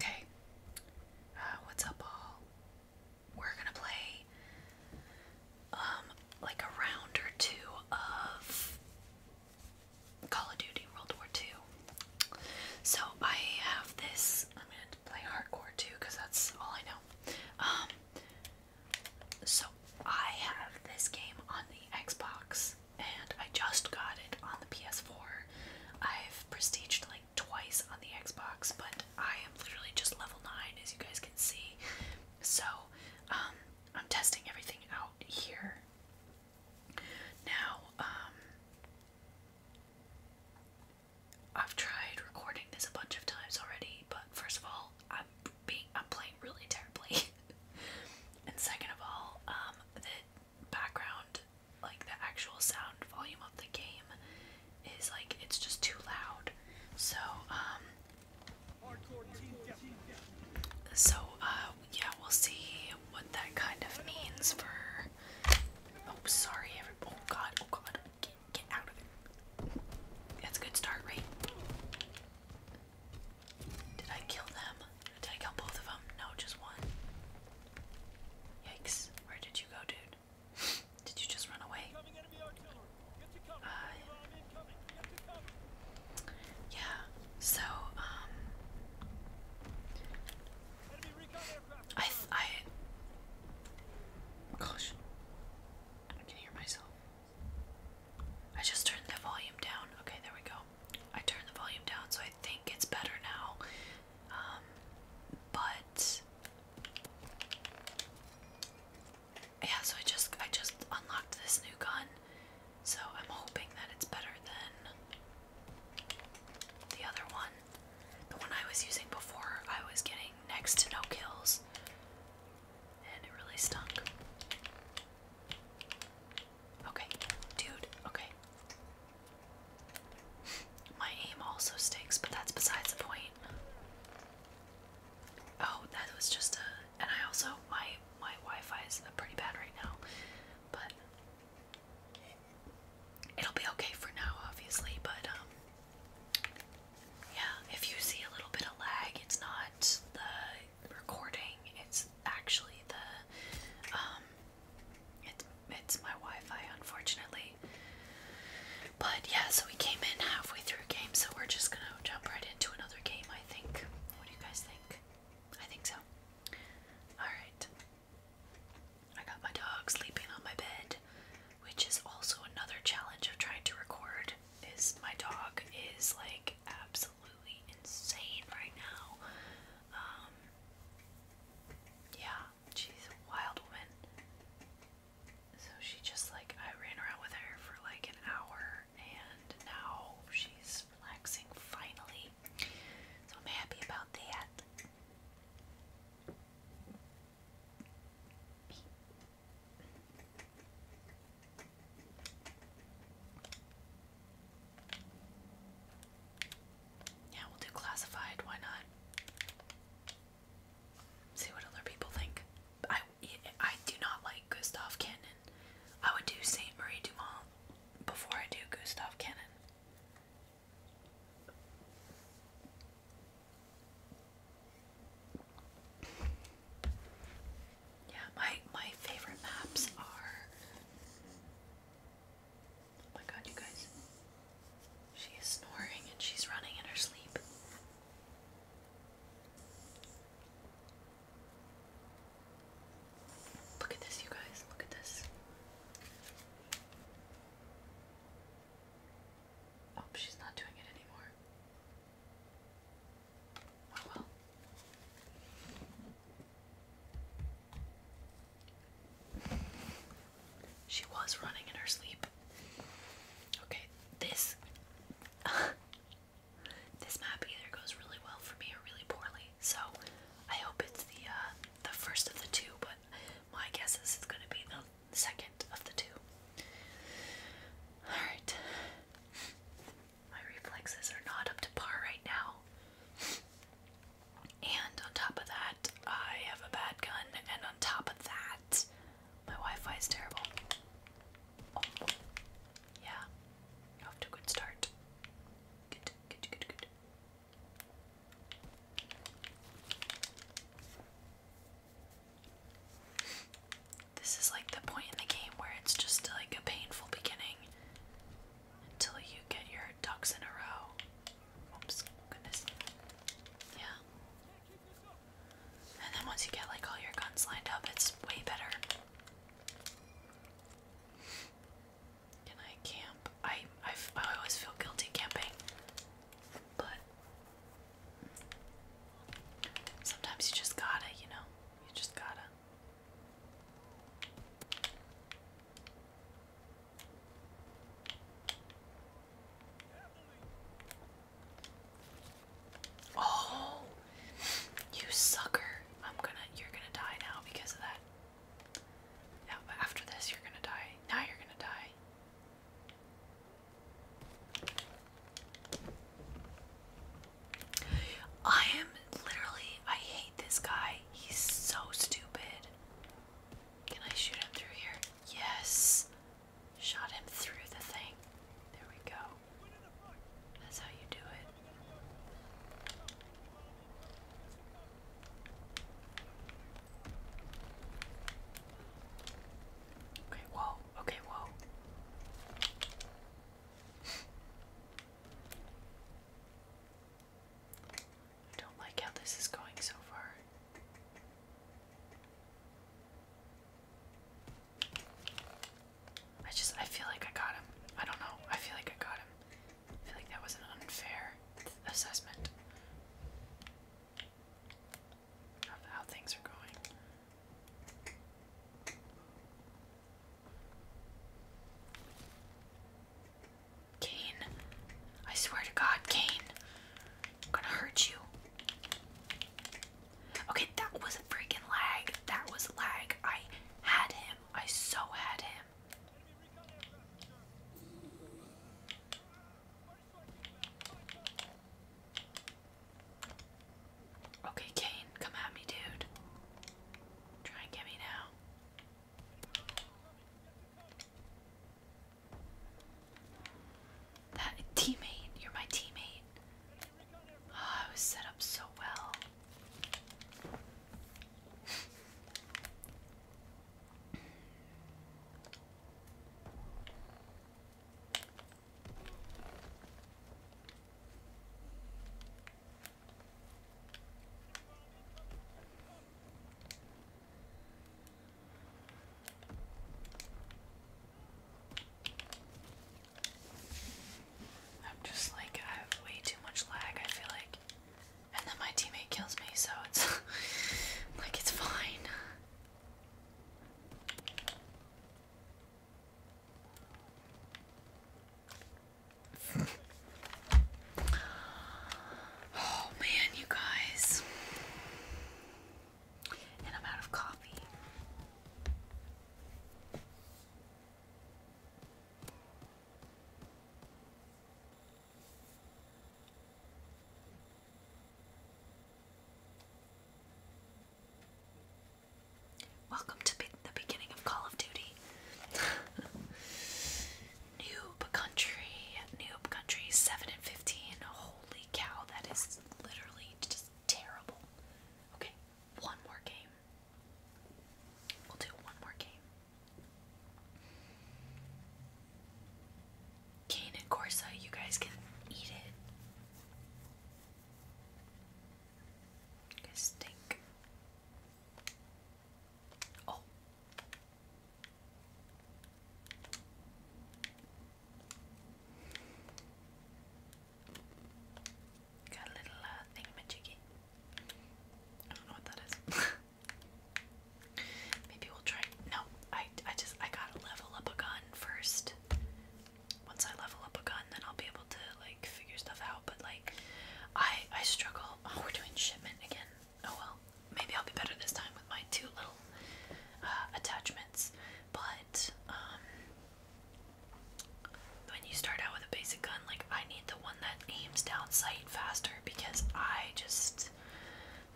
Okay, uh, what's up, all? We're gonna play um, like a round or two of Call of Duty World War II. So I have this. I'm gonna play hardcore too, cause that's all I know. Um, so I have this game on the Xbox and I just got it on the PS4. I've prestiged like twice on the Xbox, but I am literally just level 9 as you guys can see. So, um, I'm testing everything out here. Now, um, I've tried recording this a bunch of times already, but first of all, I'm being I'm playing really terribly, and second of all, um, background, like the actual sound volume of the game, is like it's just too loud. So, um, so uh, yeah, we'll see what that kind of means for. Oh, sorry, every. Oh God! Oh God! Get, out of it. That's a good start, right? Did I kill them? Did I both of them? No, just one. Yikes. Where did you go, dude? did you just run away? Uh, yeah, so, um. I. I. Gosh. I can hear myself. I just turned the volume down. Okay, there we go. I turned the volume down, so I think it's better now. Um, but yeah, so I just I just unlocked this new gun, so I'm hoping that it's better than the other one. The one I was using before, I was getting next to no kills, and it really stunk. Okay, dude, okay. My aim also stinks, but that's besides the point. Oh, that was just a and I also my my Wi-Fi is pretty bad right now, but it'll be okay for now, obviously. But um, yeah, if you see a little bit of lag, it's not the recording. It's actually the um it's it's my Wi-Fi unfortunately. But yeah, so we came in halfway through game, so we're just gonna jump right into another game, I think. What do you guys think? I think so. Alright. I got my dog sleeping on my bed, which is also another challenge of trying to record. Is my dog is like absolutely insane right now. Um, yeah, she's a wild woman. So she just like, I ran around with her for like an hour and now she's relaxing finally. So happy about that. Yeah, we'll do classified. Why not? See what other people think. I I do not like Gustav Cannon. I would do Saint Marie Dumont before I do Gustav Cannon. Yeah, my my favorite maps are. Oh my god, you guys. She is snoring and she's running in her sleep. Look at this, you guys. Look at this. Oh, she's not doing it anymore. She was running in her sleep. Okay, this this map either goes really well for me or really poorly. So I hope it's the uh, the first of the two, but my guess is it's gonna be the second of the two. Alright. My reflexes are not up to par right now. And on top of that, I have a bad gun, and on top of that, my Wi Fi is terrible. Oh. Yeah, off to a good start. Good, good, good, good. This is like the point in the game where it's just like a painful beginning until you get your ducks in a row. Oops, goodness. Yeah. And then once you get like all your guns lined up, it's way better. Can I camp? I, I, I always feel guilty camping, but Sometimes you just gotta, you know, you just gotta. Oh, you sucker. I'm gonna, you're gonna die now because of that. Now, after this, you're gonna die. Now you're gonna die. I am literally, I hate this guy. He's so stupid. Can I shoot him through here? Yes. Shot him through the thing. There we go. That's how you do it. Okay, whoa, okay, whoa. I don't like how this is going so far. I just, I feel like I got him. I don't know. I feel like I got him. I feel like that was an unfair assessment how things are going. Kane, I swear to God, Kane, I'm gonna hurt you. Okay, that was a freaking lag. That was lag. I had him. I so had him. Okay, Kane, come at me, dude. Try and get me now. That teammate, you're my teammate. Ah, I was set up so well. I'm just like, I have way too much lag, I feel like. And then my teammate kills me, so it's like it's fine. Oh man, you guys. And I'm out of coffee. Welcome to the beginning of Call of Duty. noob country, noob country, 7 and 15. Holy cow, that is literally just terrible. Okay, one more game. We'll do one more game. Kane and Corsa, you guys can eat it. You guys stink. Oh. Got a little uh, I don't know what that is. Maybe we'll try. No, I, I just I gotta level up a gun first. Once I level up a gun, then I'll be able to like figure stuff out. But like, I I struggle. Oh, we're doing shipment again. Oh well, maybe I'll be better this time with my two little uh, attachments. But um, when you start out with a basic gun, like I need the one that aims down sight faster because I just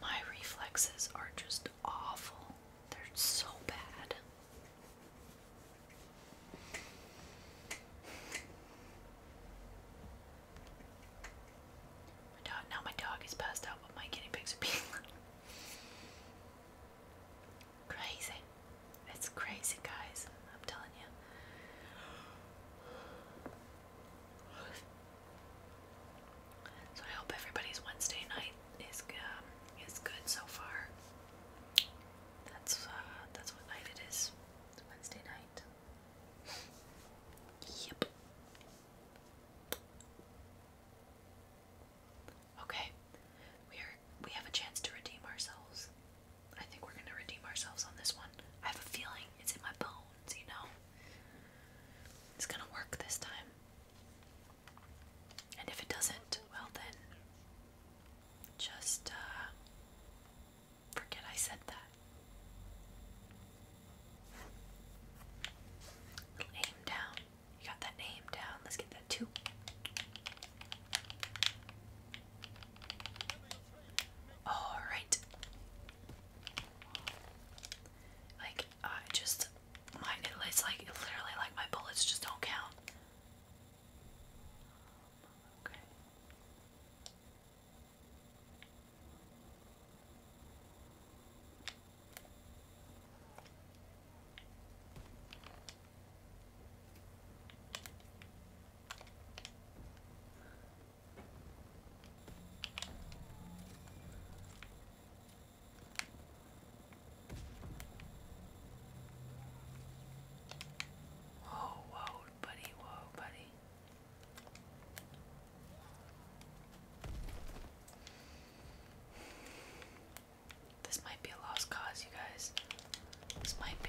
my reflexes are just awful. They're so bad. now my dog is passed out, but my guinea pigs are being crazy. It's crazy, guys. I'm telling you. So I hope everybody's Wednesday night is um, is good so far. That's uh, that's what night it is. It's Wednesday night. yep. Okay, we are we have a chance to redeem ourselves. I think we're gonna redeem ourselves on this one. I have a feeling it's in my bone you know? It's gonna work this time. And if it doesn't, well then, just uh, forget I said that. aim down. You got that aim down. Let's get that too. All right. Like I just my it's like literally like my bullets just don't count. Okay. Whoa, buddy, whoa, buddy. This might be a lost cause, you guys. This might be.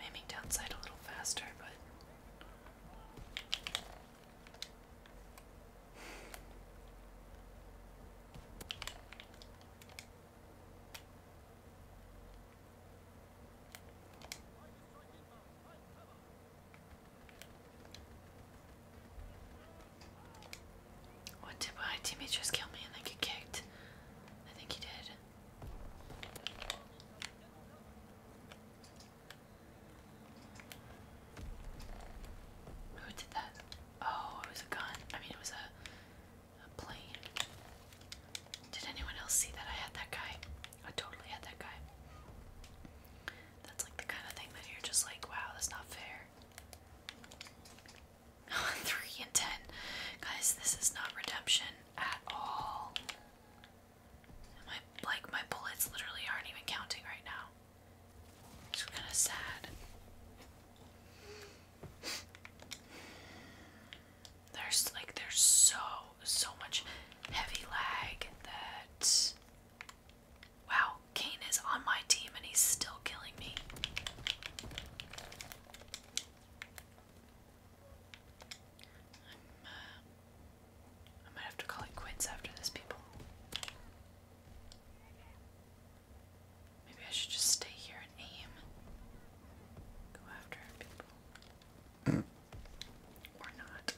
i downside a little faster, but. What did my teammate just kill me and then get kicked? I think he did. Who did that? Oh, it was a gun. I mean, it was a, a plane. Did anyone else see that I had that guy? I totally had that guy. That's like the kind of thing that you're just like, wow, that's not fair. 3 and 10. Guys, this is not redemption at all. my like my bullets literally aren't even counting right now. It's kind of sad. There's like there's so so much heavy lag that wow, Kane is on my team and he's still killing me i might have to call it quits after this, people. Maybe I should just stay here and aim. Go after people. or not.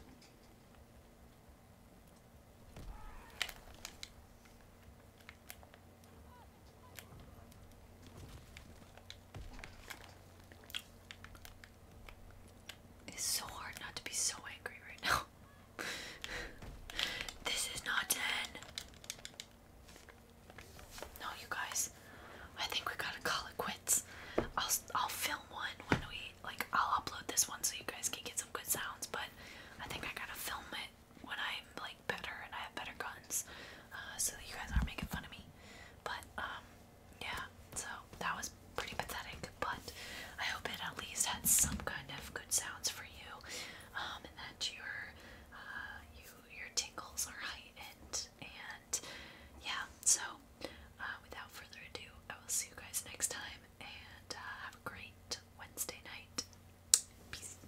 It's so hard not to be so angry right now. this is not 10. No, you guys. I think we gotta call it quits. I'll I'll film one when we like I'll upload this one so you guys can get some good sounds, but I think I gotta film it when I'm like better and I have better guns, uh, so you guys aren't making fun of me. But um, yeah, so that was pretty pathetic. But I hope it at least had some kind of good sounds for you, um, and that your uh, you your tingles are heightened. And yeah, so uh, without further ado, I will see you guys next time, and have a great Wednesday night. Peace.